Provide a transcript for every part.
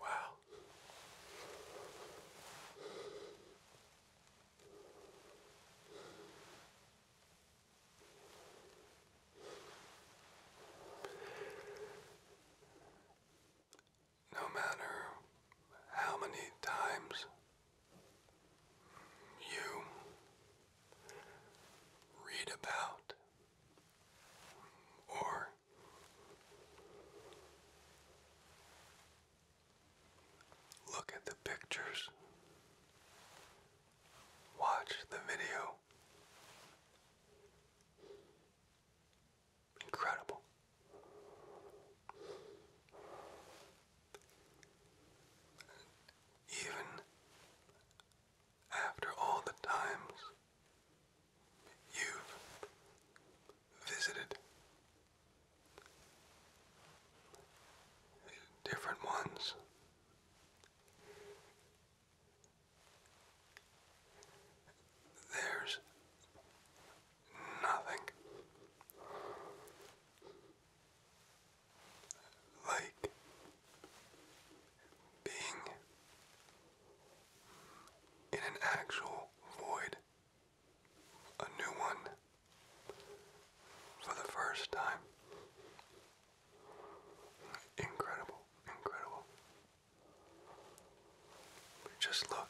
Wow. No matter how many times you read about or look at the pictures, watch the video. Incredible. Even after all the times you've visited different ones. There's nothing. Like being in an actual void, a new one, for the first time. Incredible, incredible. Just look.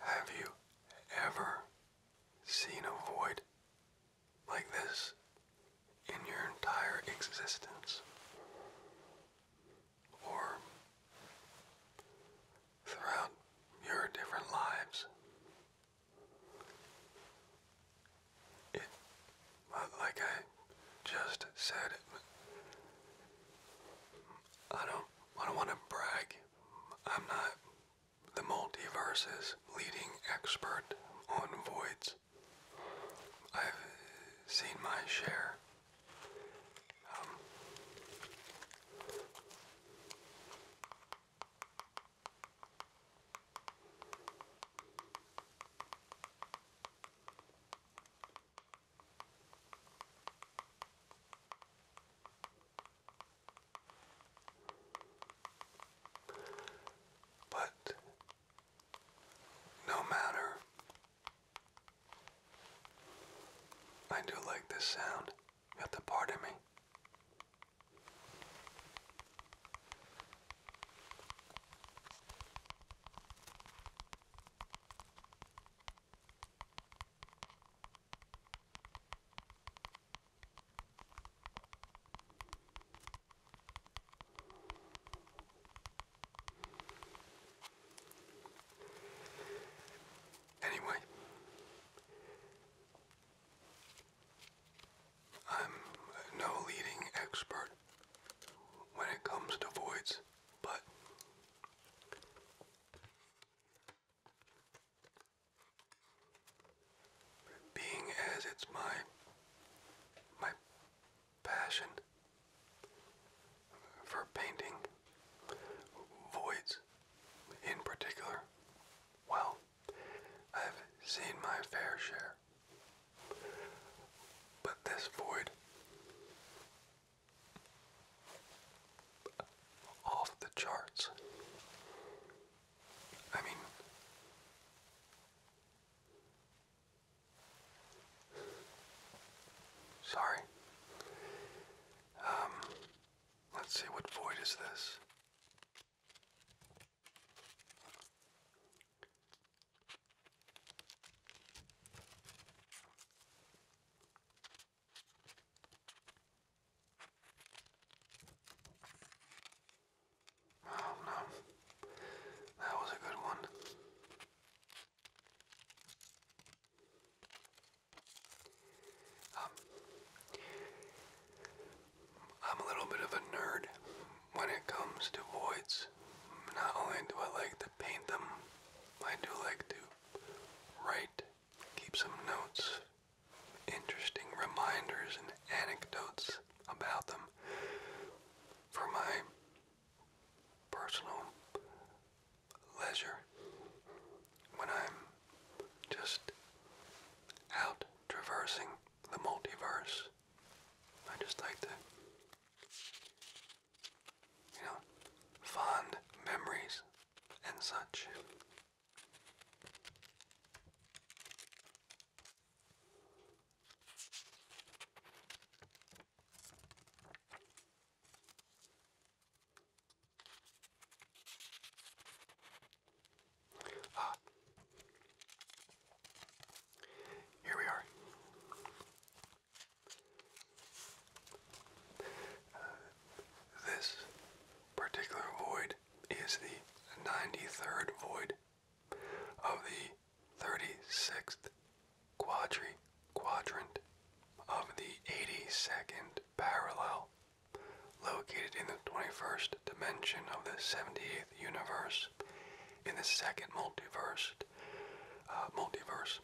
Have you ever seen a void like this in your entire existence? Or throughout your different lives? it, like I just said, I don't, I don't want to brag. I'm not the multiverse's leading expert on voids. I've seen my share. Um, but no matter, I do like this sound. You have to pardon me. Anyway, I'm no leading expert when it comes to voids, but being as it's my my passion for painting voids in particular, well, I've seen my fair share but this void off the charts. I mean, sorry. Um, let's see, what void is this? Oh no, that was a good one. Um, I'm a little bit of a nerd when it comes to voids, not only do I like to paint them, I do like to write, keep some notes, interesting reminders and anecdotes about them for my personal leisure when I'm just out traversing the multiverse. I just like to you know, fond memories and such. Ah, here we are. this particular void is the 93rd void of the 36th quadrant of the 82nd parallel located in the 21st dimension of the 78th universe in the second multiverse uh, multiverse,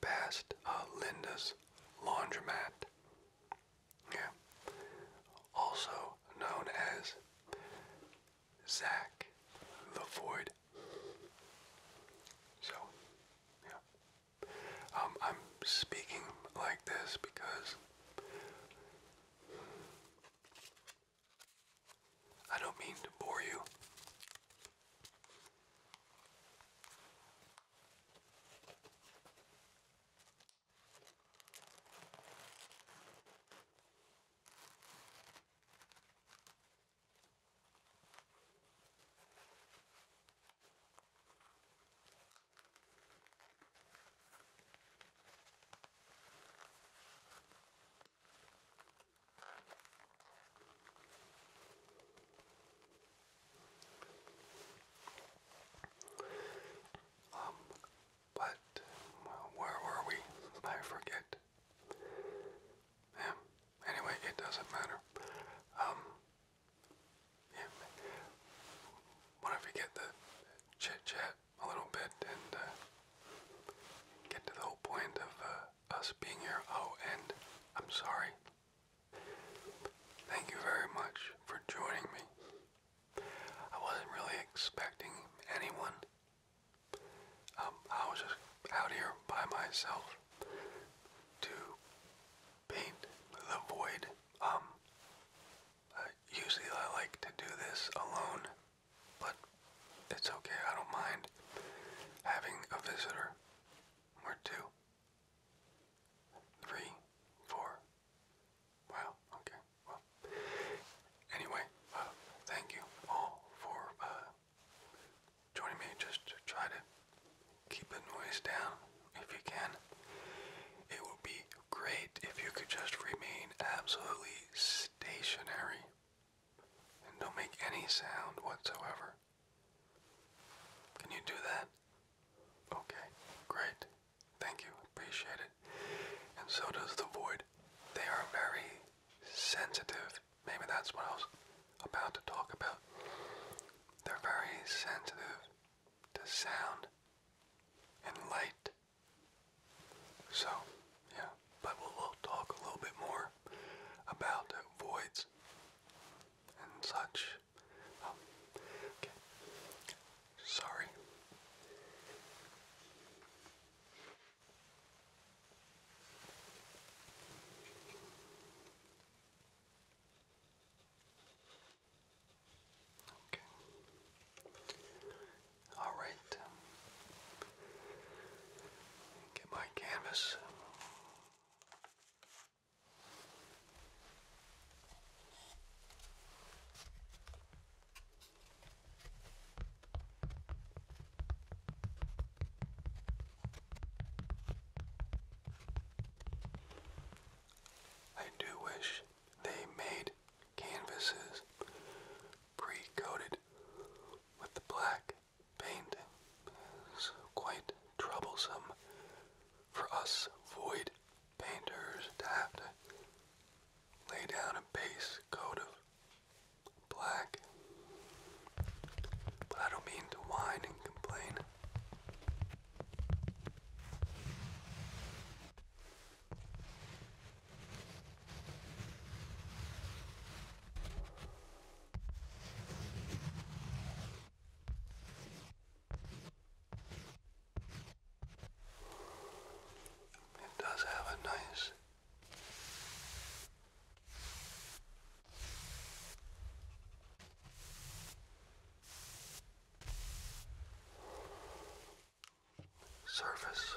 past uh, Linda's Laundromat. Yeah. Also known as Zack the Void. So, yeah. Um, I'm speaking like this because I don't mean to bore you. Um, but where were we? I forget. Yeah. Anyway, it doesn't matter. Um, yeah. What if we the chit chat a little bit and uh, get to the whole point of uh, us being here. Oh, and I'm sorry. Thank you very much for joining me. I wasn't really expecting anyone. Um, I was just out here by myself to paint the void. Um, usually I like to do this alone. But it's okay, I don't mind having a visitor or two. Wow, okay. Well, anyway, uh, thank you all for uh, joining me. Just try to keep the noise down if you can. It would be great if you could just remain absolutely stationary and don't make any sound whatsoever. Can you do that? Okay, great. Thank you. Appreciate it. And so does the void. They are very sensitive. Maybe that's what I was about to talk about. They're very sensitive to sound and light so, yeah, but we'll, talk a little bit more about voids and such. Um, okay. Sorry. Okay. All right. Get my canvas. I do wish they made canvases pre coated with the black paint is quite troublesome for us void painters to have to lay down a base coat of black. But I don't mean to whine and complain. It does have a nice surface.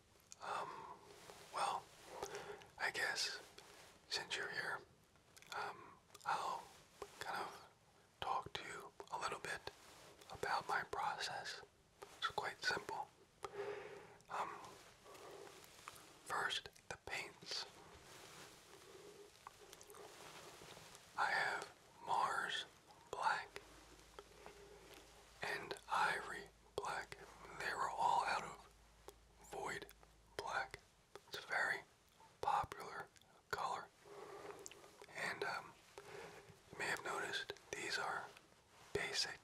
um, well, I guess since you're here, um, I'll kind of talk to you a little bit about my process. It's quite simple. Um, first, the paints. I have Mars Black, and I black. They were all out of void black. It's a very popular color. And um, you may have noticed these are basic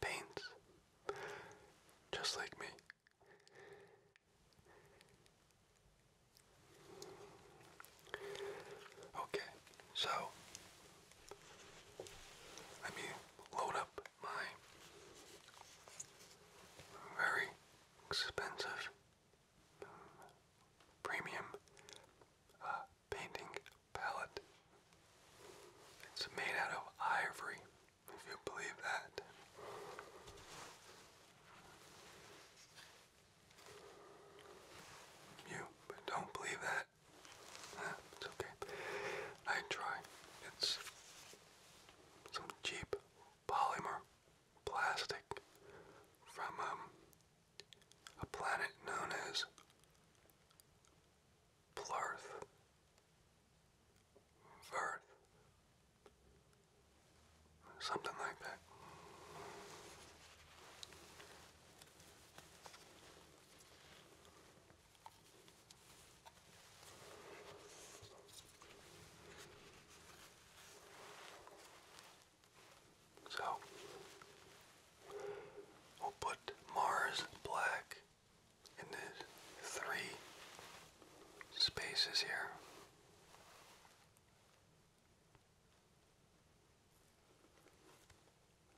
paints, just like me. Okay, so let me load up my very expensive premium uh, painting palette. It's made out of ivory, if you believe that. You don't believe that? It's okay. I try. It's some cheap polymer plastic from um, a planet known as Plarth. Verth. Something like that. So we'll put Mars black in the three spaces here.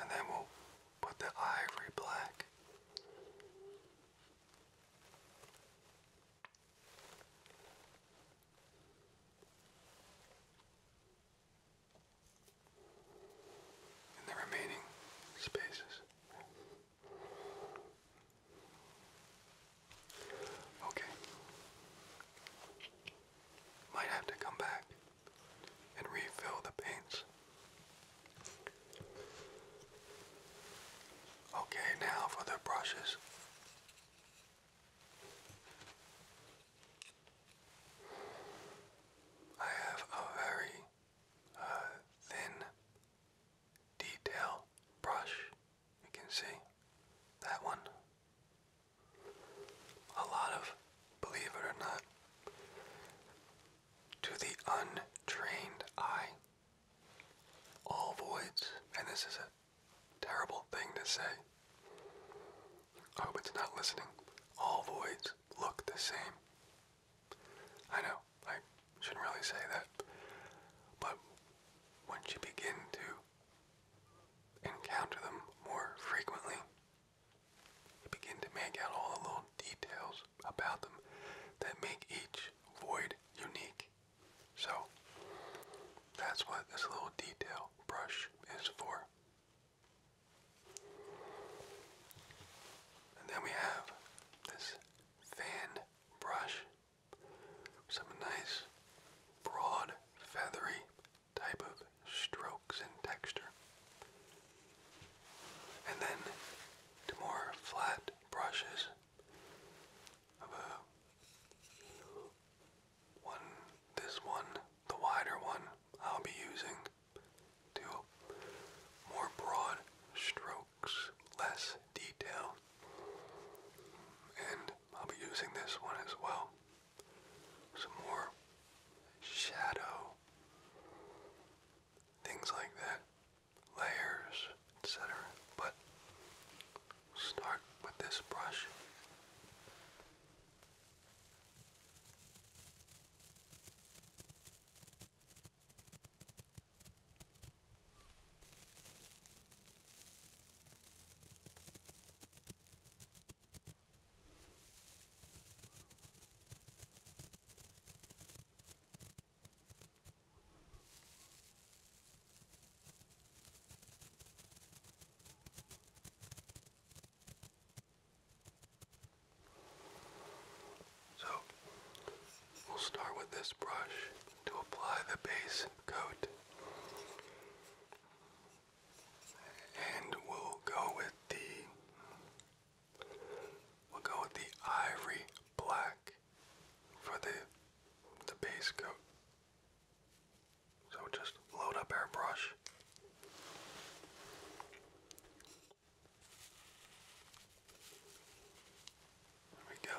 And then we'll put the ivory black. In the remaining spaces. Okay. Might have to come back and refill the paints. Okay, now for the brushes. I have a very uh, thin detail brush you can see that one. A lot of, believe it or not, to the untrained eye, all voids, and this is a terrible thing to say. I hope it's not listening. All voids look the same. I know, I shouldn't really say that. But once you begin to encounter them more frequently, you begin to make out all the little details about them that make each void unique. So, that's what this little detail brush is for. And then we have this fan brush. Some nice, broad, feathery type of strokes and texture. And then to more flat brushes of one, this one, the wider one, I'll be using to more broad strokes, less detail, and I'll be using this one as well. Some more shadow, things like that, layers, etc. But start with this brush. So we'll start with this brush to apply the base coat. And we'll go with the we'll go with the ivory black for the the base coat. So just load up airbrush. There we go.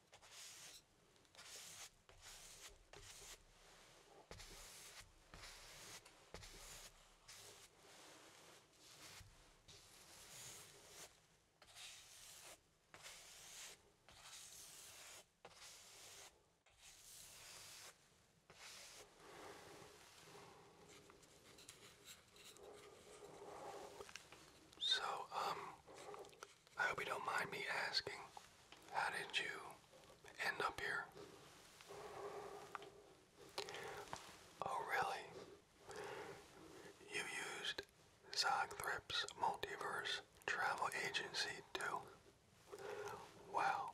So, um, I hope you don't mind me asking, how did you end up here? Oh, really? You used Zogthrip's Multiverse Travel Agency too? Wow.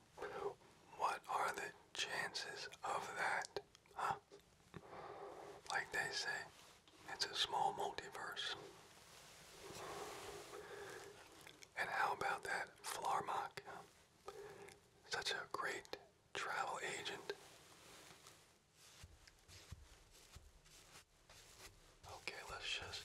What are the chances of that? Huh? Like they say, it's a small multiverse. And how about that Flarmock? Such a great travel agent. Okay, let's just.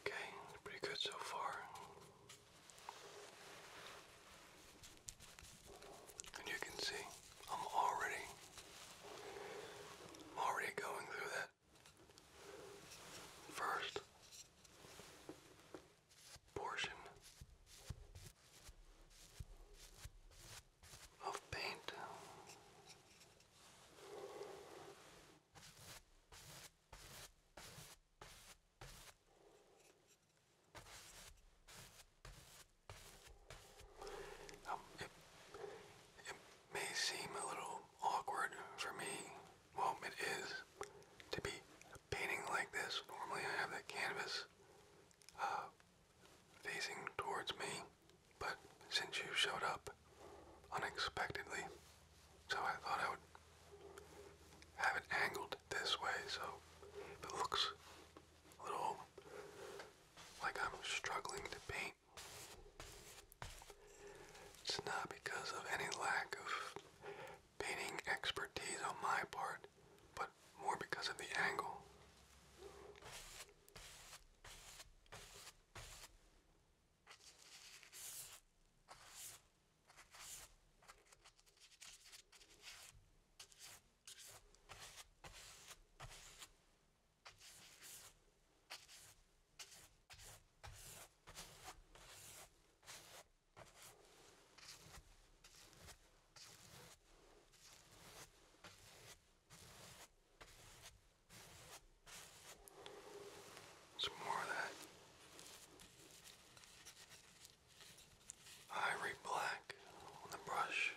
Okay, pretty good so far. And you can see I'm already already going through that First portion of paint. Um, may seem a little awkward for me. Well, it is to be painting like this. Normally I have the canvas uh, facing towards me, but since you showed up unexpectedly, so I thought I would have it angled this way so it looks a little like I'm struggling to paint. It's not because of any lack of painting expertise on my part, but more because of the angle. Some more of that ivory black on the brush.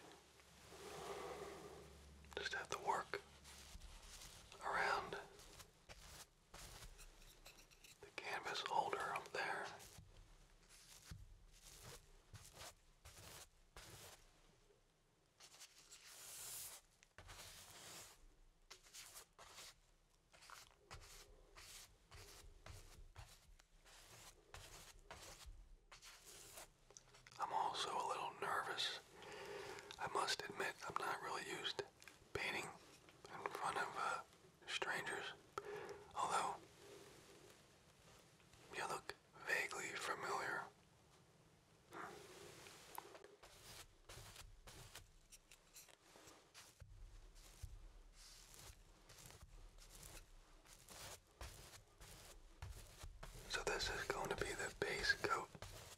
Just have to work around the canvas holder up there. I'm also a little nervous. I must admit, I'm not really used to painting in front of uh, strangers, although you look vaguely familiar. So this is going to be the base coat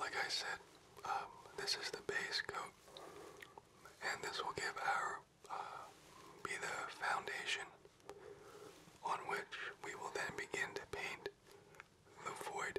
Like I said, um, this is the base coat, and this will give our uh, be the foundation on which we will then begin to paint the void.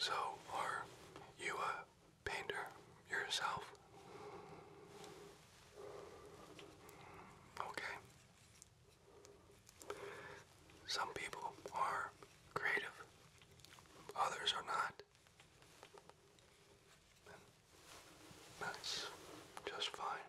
So, are you a painter yourself? Okay. Some people are creative, others are not. that's just fine.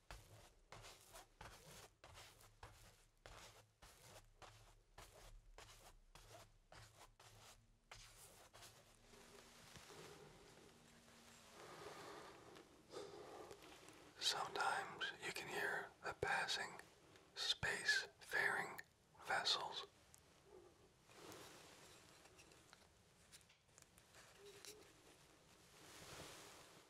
Sometimes you can hear the passing space-faring vessels.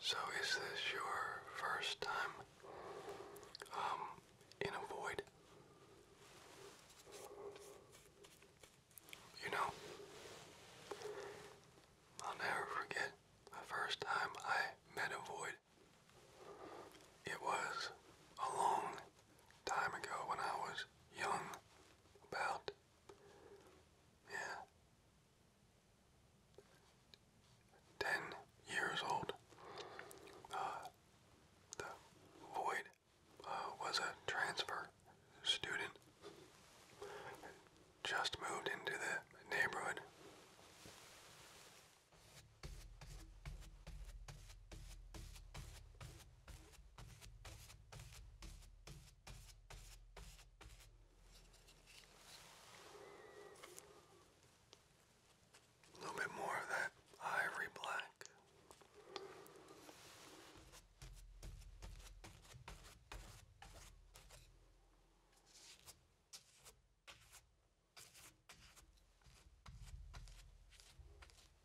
So is this your first time um, in a void? You know, I'll never forget the first time I met a void. It was a long time ago when I was young, about yeah. Ten years old. Uh, the Void uh, was a transfer student. Just moved into the neighborhood. A little bit more of that ivory black.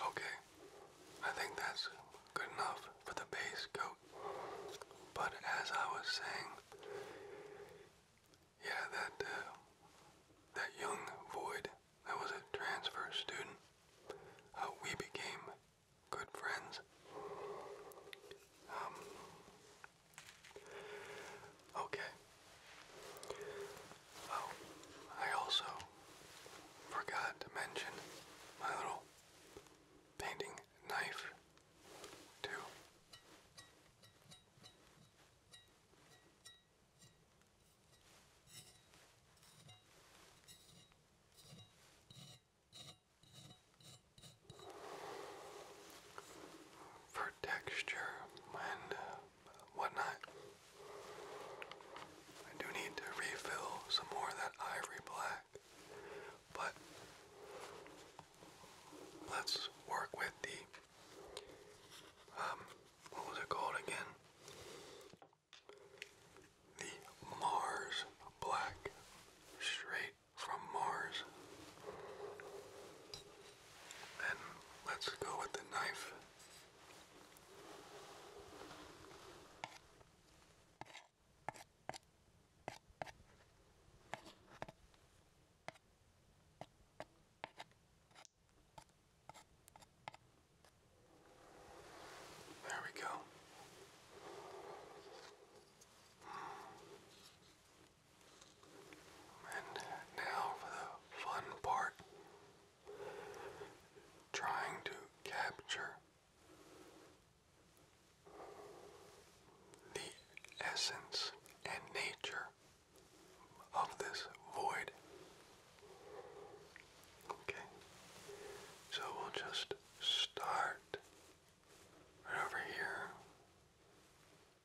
Okay, I think that's good enough for the base coat. But as I was saying, yeah, that uh, that young void that was a transfer student, uh, we became good friends. Um, Okay. Oh, I also forgot to mention my little painting knife, too for texture and uh, whatnot. I do need to refill some more of that ivory black, but let's work with the um, what was it called again? The Mars Black Straight from Mars. And let's go with the knife. There we go. And now for the fun part trying to capture the essence and nature of this void. Okay, so we'll just start right over here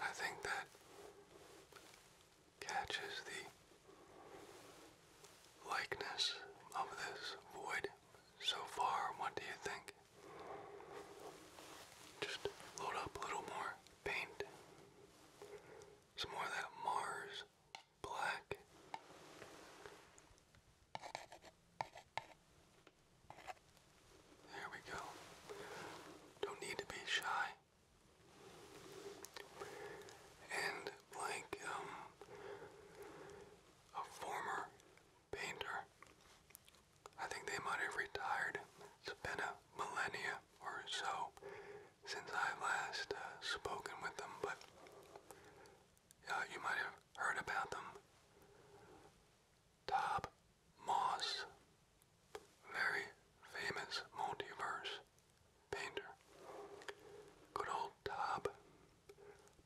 I think that catches the likeness of this void so far. What do you think? Just load up a little more paint. Some more of that Mars black. There we go. Don't need to be shy. And like um, a former painter, I think they might have retired. It's been a millennia or so since I've last uh, spoken with them, but you might have heard about them. Top Moss, very famous multiverse painter. Good old Top,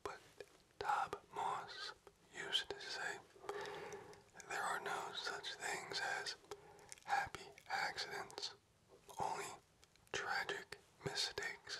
but Top Moss used to say there are no such things as happy accidents only tragic mistakes.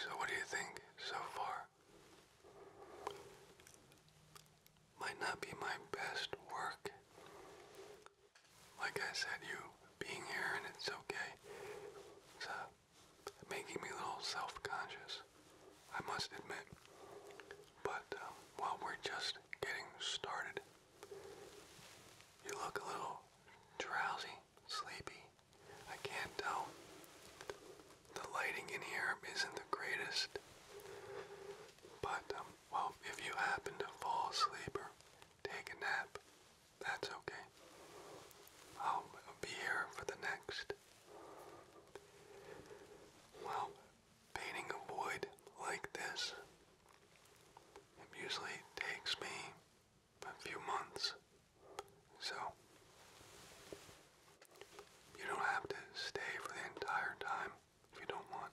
So, what do you think so far? might not be my best work. Like I said, you being here and it's okay. It's uh, making me a little self-conscious, I must admit. But uh, while we're just getting started, you look a little drowsy, sleepy. I can't tell the lighting in here isn't the greatest, but um, well, if you happen to fall asleep or take a nap, that's okay. I'll be here for the next. Well, painting a void like this it usually takes me a few months, so you don't have to stay for the entire time if you don't want.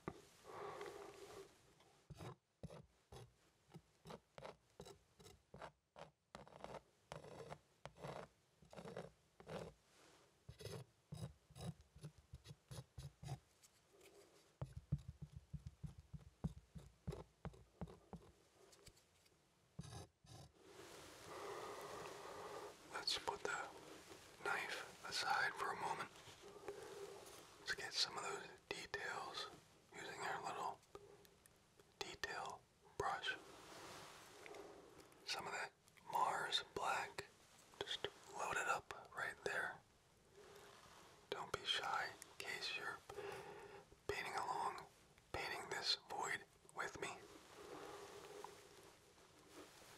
Let's put the knife aside for a moment. Let's get some of those details using our little detail brush. Some of that Mars black, just load it up right there. Don't be shy in case you're painting along, painting this void with me.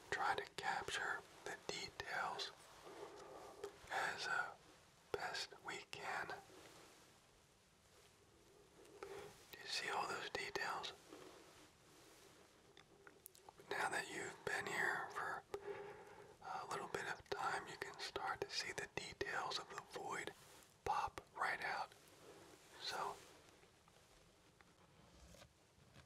Try to capture the details as uh, best we can. Do you see all those details? Now that you've been here for a little bit of time, you can start to see the details of the void pop right out. So,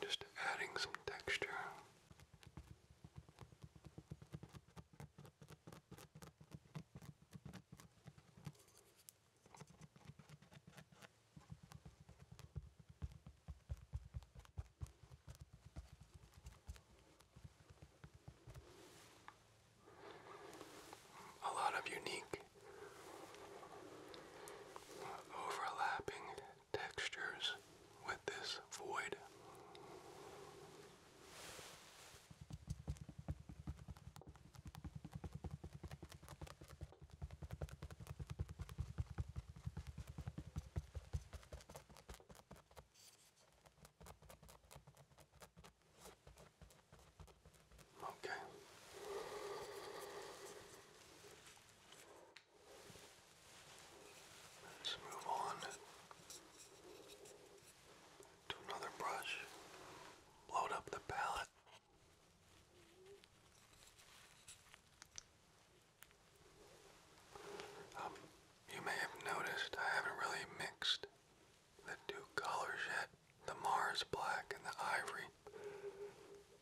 Just adding some texture a lot of unique overlapping textures with this void. Okay. Let's move on to another brush, load up the palette. Um, you may have noticed I haven't really mixed the two colors yet, the Mars black and the ivory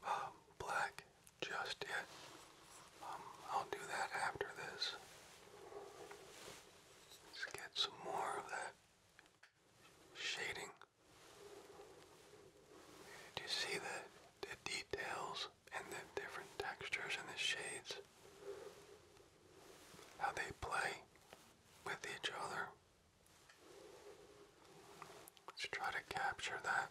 um, black just yet. Um, I'll do that after this. Let's get some more of that shading. Do you see the, the details and the different textures and the shades? How they play with each other. Let's try to capture that.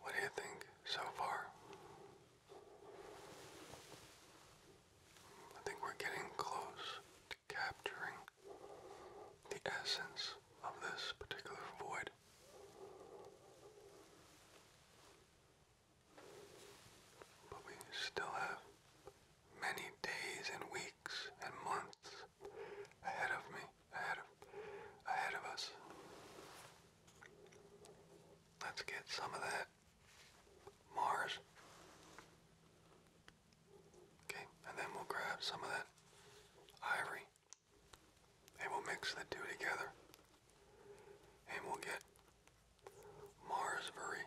What do you think so far? I think we're getting close to capturing the essence of this particular void. But we still have many days and weeks and months ahead of me, ahead of, ahead of us. Let's get some of that Mars. Okay, and then we'll grab some of that ivory and we'll mix the two together and we'll get Marsbury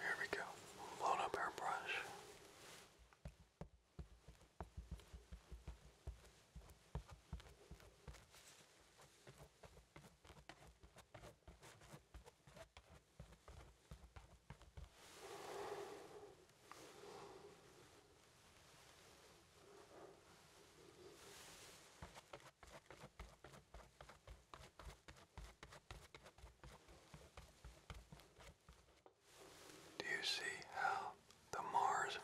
here we go. Load up our brush. Do you see how the Mars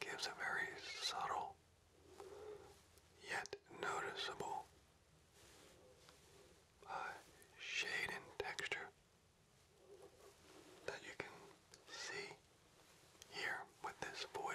gives a very subtle yet noticeable uh, shade and texture that you can see here with this void.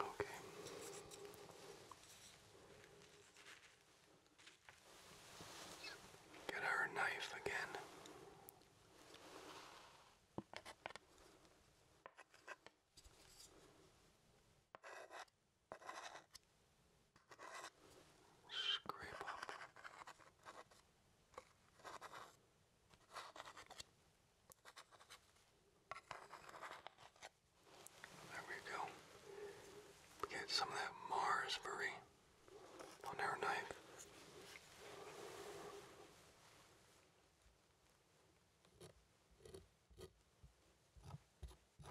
Okay. Get our knife again. Scrape up. There we go. We get some of that Marsbury on our knife.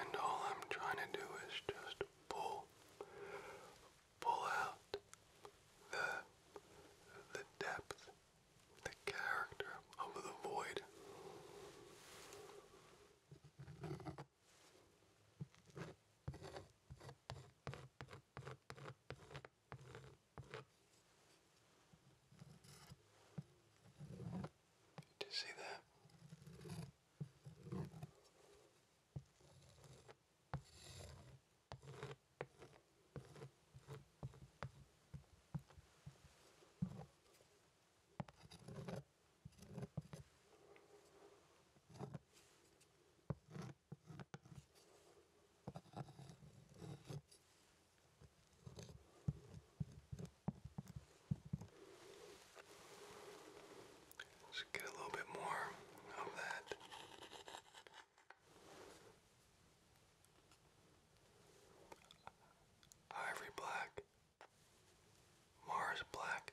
And all I'm trying to do is just pull, pull out the, the depth, the character of the void. Did you see that? Just get a little bit more of that. Ivory black, Mars black.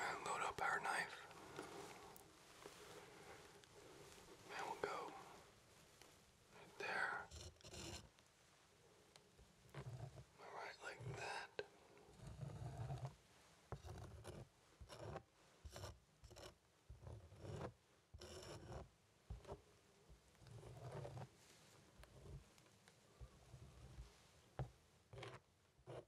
and load up our knife. And we'll go right there. Alright, like that. All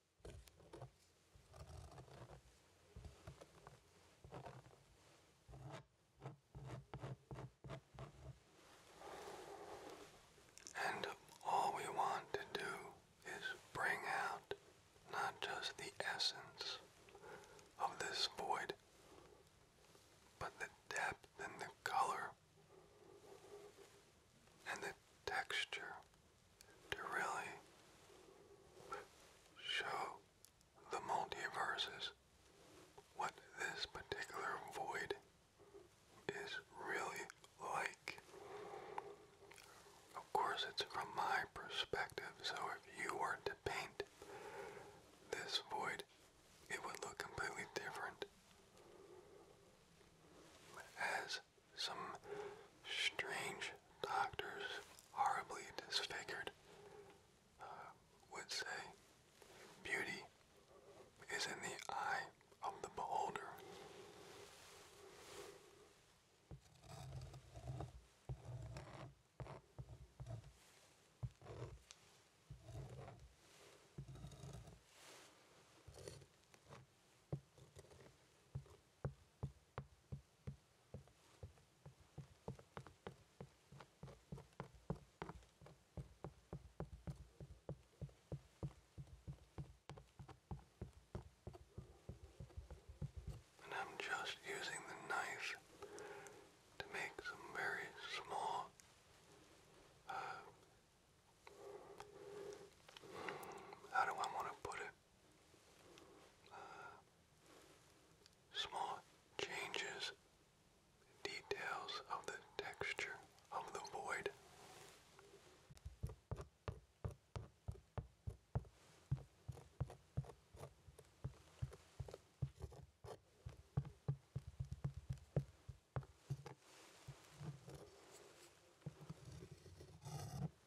And all we want to do is bring out not just the essence of this void, but the depth and the color and the texture to really show the multiverses what this particular void is really like. Of course, it's from my perspective, so if you were to paint this void, it would look completely different. As some strange doctors, horribly disfigured, uh, would say beauty is in the eye of the beholder. And I'm just using the knife to make some very small uh, how do I want to put it? Uh, small changes, details of the texture of the void.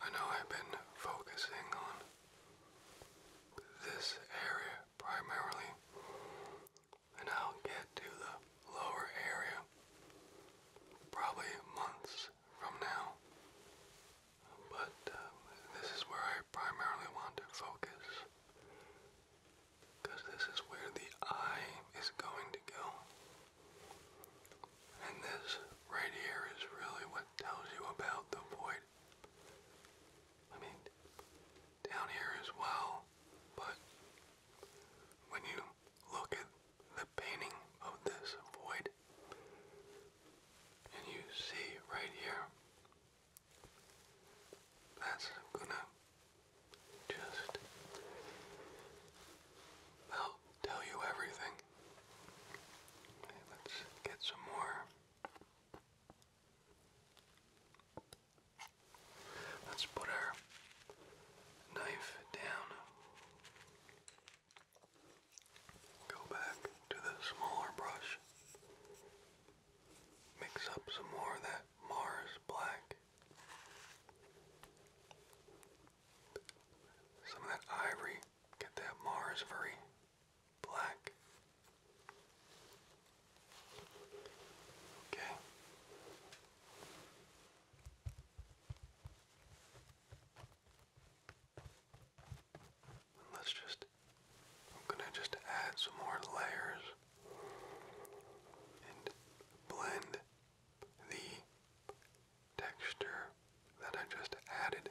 I know I've been focusing on this area primarily, and I'll get to the lower area probably months from now. But um, this is where I primarily want to focus because this is where the eye is going to go. And this right here is really what tells you about the void. I mean, down here as well, but when you look at the painting of this void, and you see right here that's gonna just I'll tell you everything. let's get some more. Let's put our knife down. Go back to the smaller brush. Mix up some more of that Mars black. Some of that ivory. Get that Mars very black. Okay. Let's just, I'm gonna just add some more layers and blend the texture that I just added.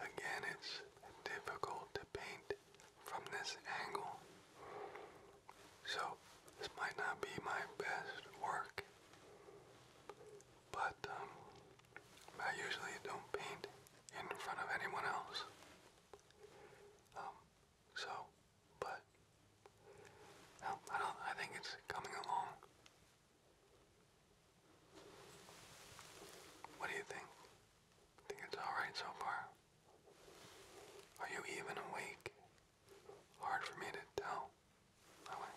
Again, it's difficult to paint from this angle. So this might not be my best work, but um, I usually don't paint in front of anyone else. Um, so, but I don't. I think it's coming along. What do you think? I Think it's alright so far? Are you even awake? Hard for me to tell. Bye -bye.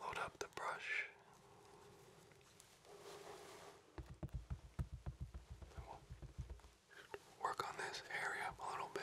Load up the brush. work on this area a little bit.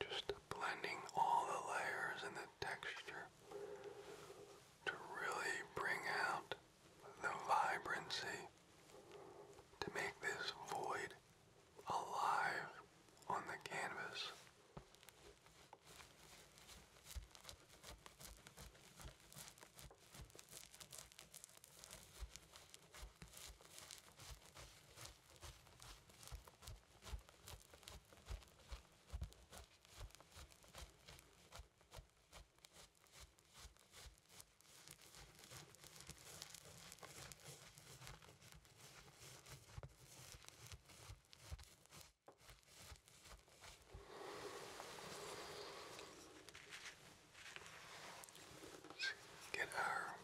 Just blending all the layers and the texture to really bring out the vibrancy to make this void alive on the canvas. Get our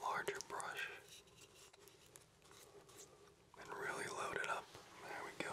larger brush and really load it up. There we go.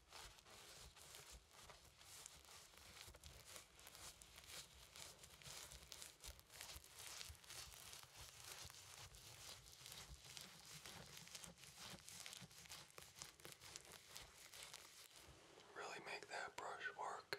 Really make that brush work.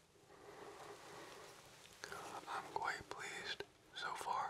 I'm quite pleased so far.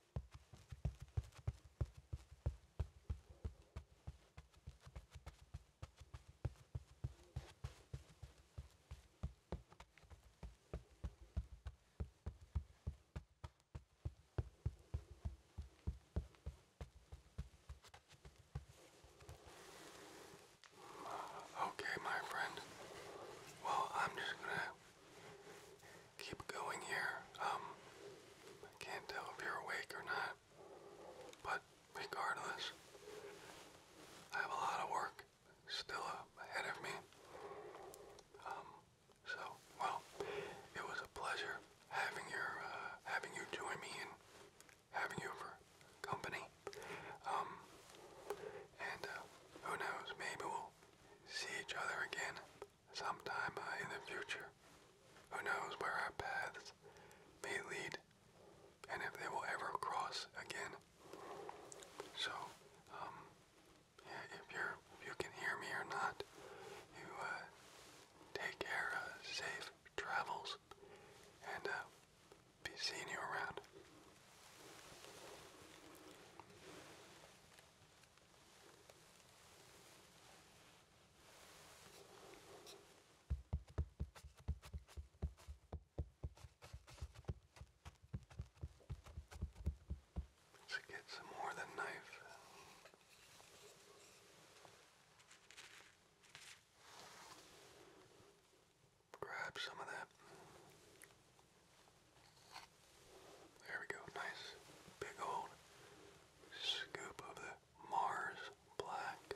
Okay, my friend. Well, I'm just gonna keep going here. Um, I can't tell if you're awake or not, but regardless, I have a lot of work still uh, ahead of me. Um, so, well, it was a pleasure having your uh, having you join me and having you for company. Um, and uh, who knows? Maybe we'll see each other again sometime uh, in the future. Who knows where our paths may lead and if they will ever cross again. So, um, if you're, you can hear me or not, you, uh, take care, uh, safe travels, and, be seeing you around. Let's get some more of the knife. Grab some of that. There we go. Nice big old scoop of the Mars Black.